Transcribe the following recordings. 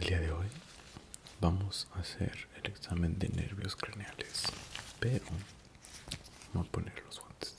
El día de hoy vamos a hacer el examen de nervios craneales, pero no poner los guantes.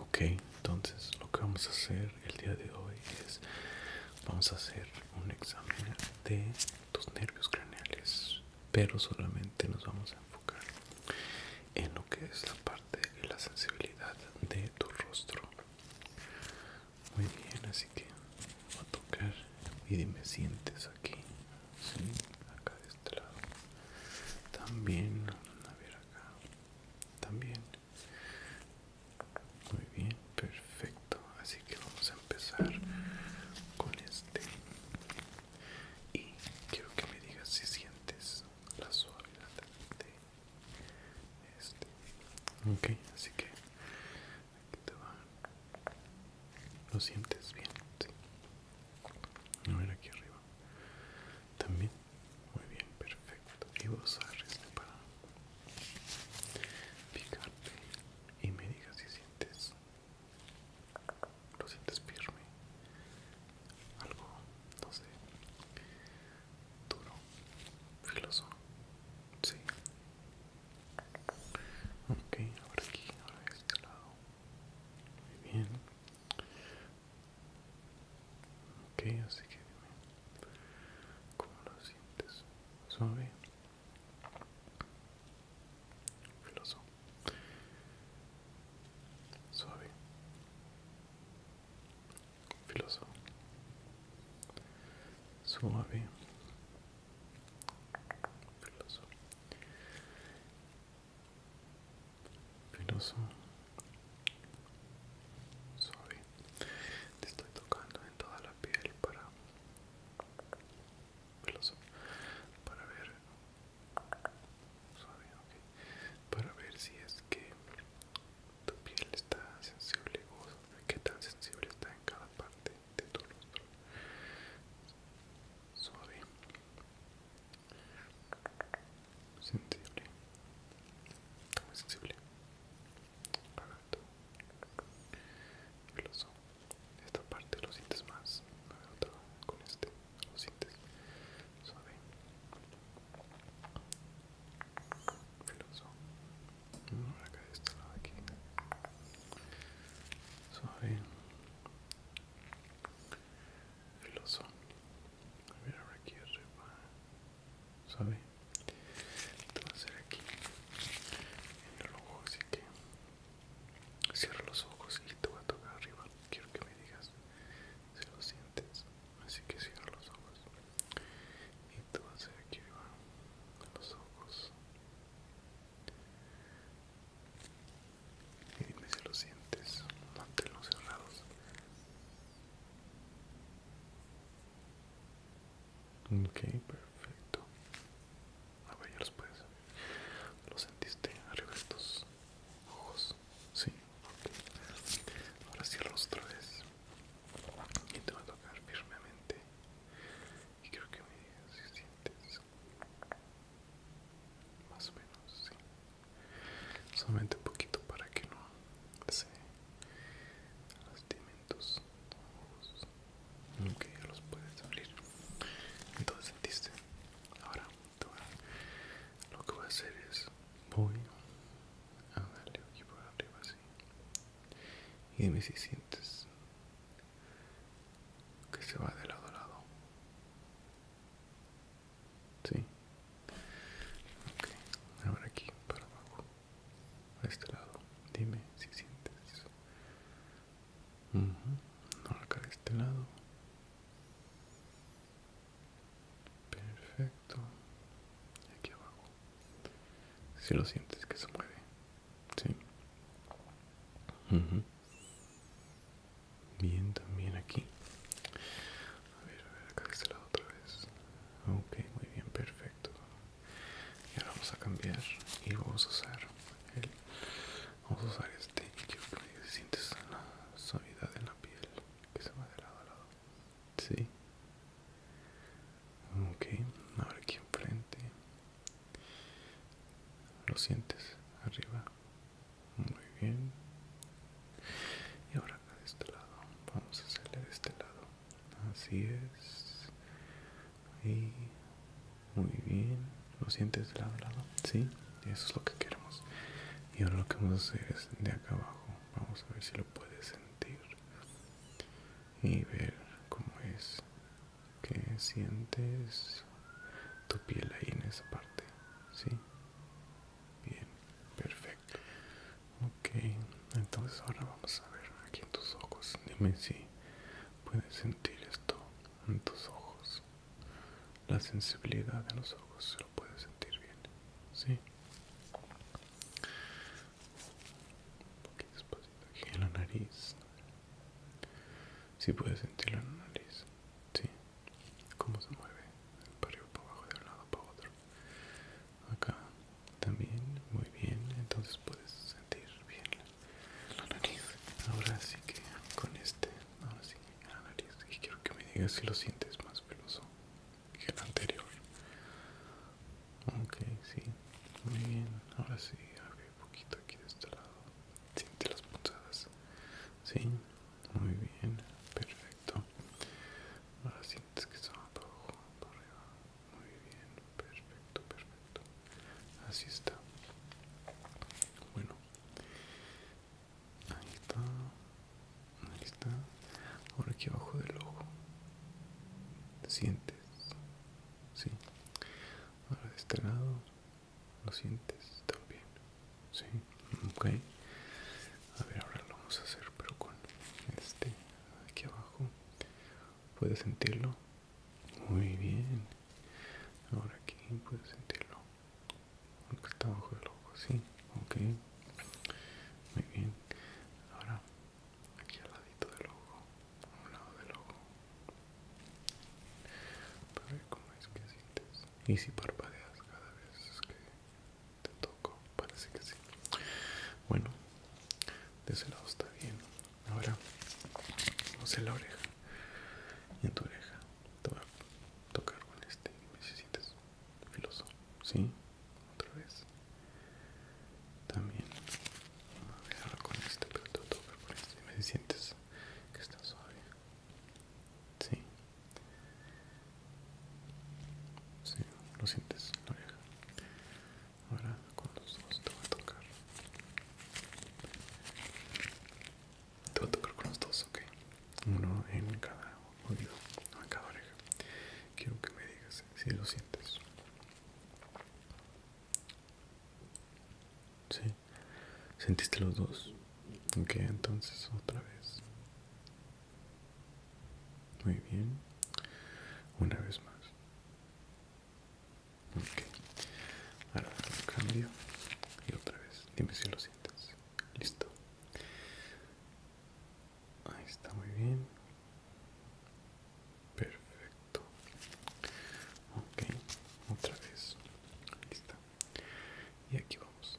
ok entonces lo que vamos a hacer el día de hoy es vamos a hacer un examen de tus nervios craneales pero solamente nos vamos a enfocar en lo que es la parte de la sensibilidad de tu rostro muy bien así que voy a tocar y dime sientes aquí sí, acá de este lado también a ver acá también muy bien, perfecto. Así que vamos a empezar con este. Y quiero que me digas si sientes la suavidad de este. Ok, así que aquí te va. ¿Lo sientes bien? Sí. A ver, aquí arriba. También. Muy bien, perfecto. Y vos este para picarte y me digas si sientes, lo sientes firme, algo, no sé, duro, filoso. Sí. Ok, ahora aquí, ahora de este lado. Muy bien. Okay, así que cómo lo sientes. Suave. Filoso. Suave. Filoso. Suave. Filoso. Filoso. Suave. Te estoy tocando en toda la piel para para ver para ver si es que tu piel está sensible o qué tan sensible está en cada parte de tu rostro suave sensible, muy sensible, Esta parte lo sientes más, con este, lo sientes suave, mm, de este aquí, suave el oso. A ver, aquí arriba. Suave. Te vas a hacer aquí en el ojo, así que cierra los ojos y te vas a tocar arriba. Quiero que me digas si lo sientes. Así que cierra los ojos y te vas a ir aquí arriba los ojos. Y dime si lo sientes, manténlos cerrados. Ok, perfecto. Ahora ya los puedes. ¿Lo sentiste arriba de tus ojos? Sí, ok. Ahora cierro otra vez. Y te va a tocar firmemente. Y creo que me si sientes. Más o menos, sí solamente un poquito para que no se lastimen tus ojos ya los puedes abrir entonces sentiste ahora lo que voy a hacer es voy a darle aquí por arriba así y dime si sientes que se va de lado a lado Sí. Okay. Ahora aquí para abajo. A este lado. Dime si sientes. eso No, acá de este lado. Perfecto. Y aquí abajo. Si lo sientes que se mueve. Sí. Bien, también aquí. A ver, a ver, acá de este lado otra vez. Ok, muy bien, perfecto. Y ahora vamos a cambiar y vamos a usar el, vamos a usar este que sientes la suavidad de la piel que se va de lado a lado. Sí. Ok, ahora aquí enfrente. ¿Lo sientes? Arriba muy bien y ahora acá de este lado vamos a hacerle de este lado así es y muy bien lo sientes de lado lado sí eso es lo que queremos y ahora lo que vamos a hacer es de acá abajo vamos a ver si lo puedes sentir y ver cómo es que sientes tu piel ahí en esa parte sí Bien, perfecto. Ok, entonces ahora vamos a ver aquí en tus ojos. Dime si puedes sentir esto en tus ojos. La sensibilidad de los ojos se lo puedes sentir bien. Sí. Un poquito despacito aquí en la nariz. Si puedes puedes sentir la nariz sí, cómo se mueve el arriba, para abajo, de un lado para otro. Acá también, muy bien, entonces puedes sentir bien la, nariz. Ahora sí que con este, ahora sí, la nariz. Y quiero que me digas si lo sientes más peloso que el anterior. Ok, sí, muy bien. Ahora sí, abre un poquito aquí de este lado. Siente las punzadas, sí. Muy bien, perfecto. Ahora sientes que está para abajo, arriba. Muy bien, perfecto, perfecto. Así está. Bueno, ahí está. Ahí está. Ahora aquí abajo del ojo. Sientes. Sí. Ahora de este lado. ¿Lo sientes también? Sí, ok. A ver, ahora lo vamos a hacer, pero con este aquí abajo. ¿Puedes sentirlo? Muy bien. Ahora aquí puedes sentirlo. está abajo del ojo, sí. Ok. Muy bien. Ahora aquí al ladito del ojo. A un lado del ojo. Para ver cómo es que sientes y si parpadeas cada vez que te toco parece que sí bueno de ese lado está bien ahora vamos a la oreja y en tu oreja te voy a tocar con este y si sientes filoso sí otra vez también a ver con este pero te toca con este y me sientes que está suave sí si lo sientes, la oreja. Ahora con los dos te voy a tocar. Te voy a tocar con los dos, ok. Uno en cada oído, en cada oreja. Quiero que me digas si lo sientes. ¿Sí? ¿Sentiste los dos? Ok, entonces otra vez. Muy bien. Una vez más. Ok. Ahora cambio. Y otra vez. Dime si lo sientes. Listo. Ahí está muy bien. Perfecto. Ok. Otra vez. Listo y aquí vamos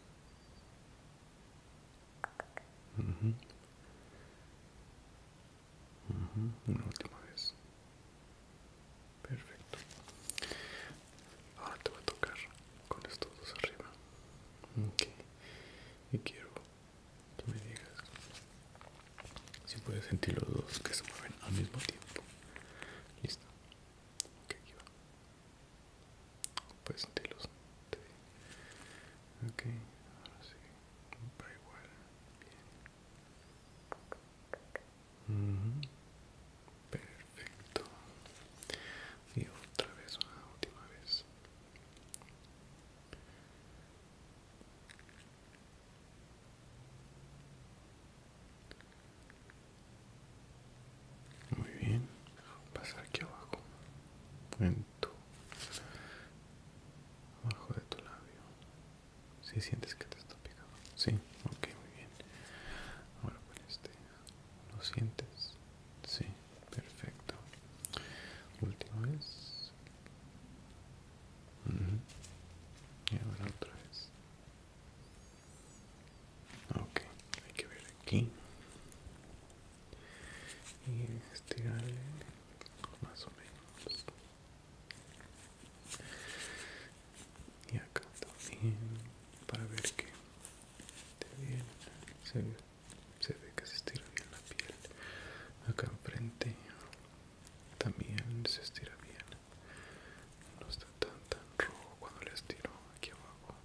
una última vez perfecto ahora te voy a tocar con estos dos arriba ok y quiero que me digas si puedes sentir los dos que se mueven al mismo tiempo listo que Pues puedes sentirlos ok ahora sí va igual bien perfecto y otra vez una última vez muy bien, pasar aquí abajo, en tu, abajo de tu labio. Si sientes que te está picando? sí, ok, muy bien. Ahora con este, ¿lo sientes? Sí, perfecto. Última vez. Y ahora otra vez. Ok, hay que ver aquí y estirarle más o menos y acá también para ver que se ve que se estira bien la piel acá enfrente también se estira bien no está tan tan rojo cuando le estiro aquí abajo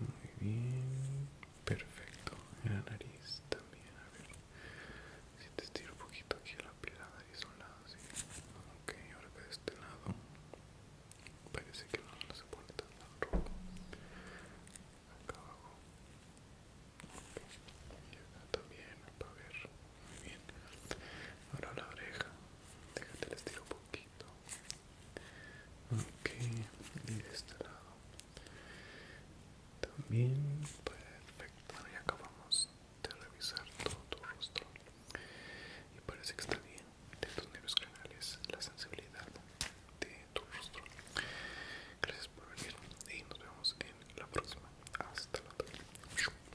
muy bien perfecto en la nariz también a ver si te estiro un poquito aquí la piel la nariz a un lado sí ok ahora de este lado parece que no, se pone tan, tan rojo acá abajo y acá también para ver muy bien. Ahora la oreja. Déjate el estilo un poquito. Ok. Y de este lado. También. Perfecto. Bueno, ya acabamos de revisar todo tu rostro. Y parece que está bien. De tus nervios canales, la sensibilidad de tu rostro. Gracias por venir y nos vemos en la próxima. Hasta la próxima.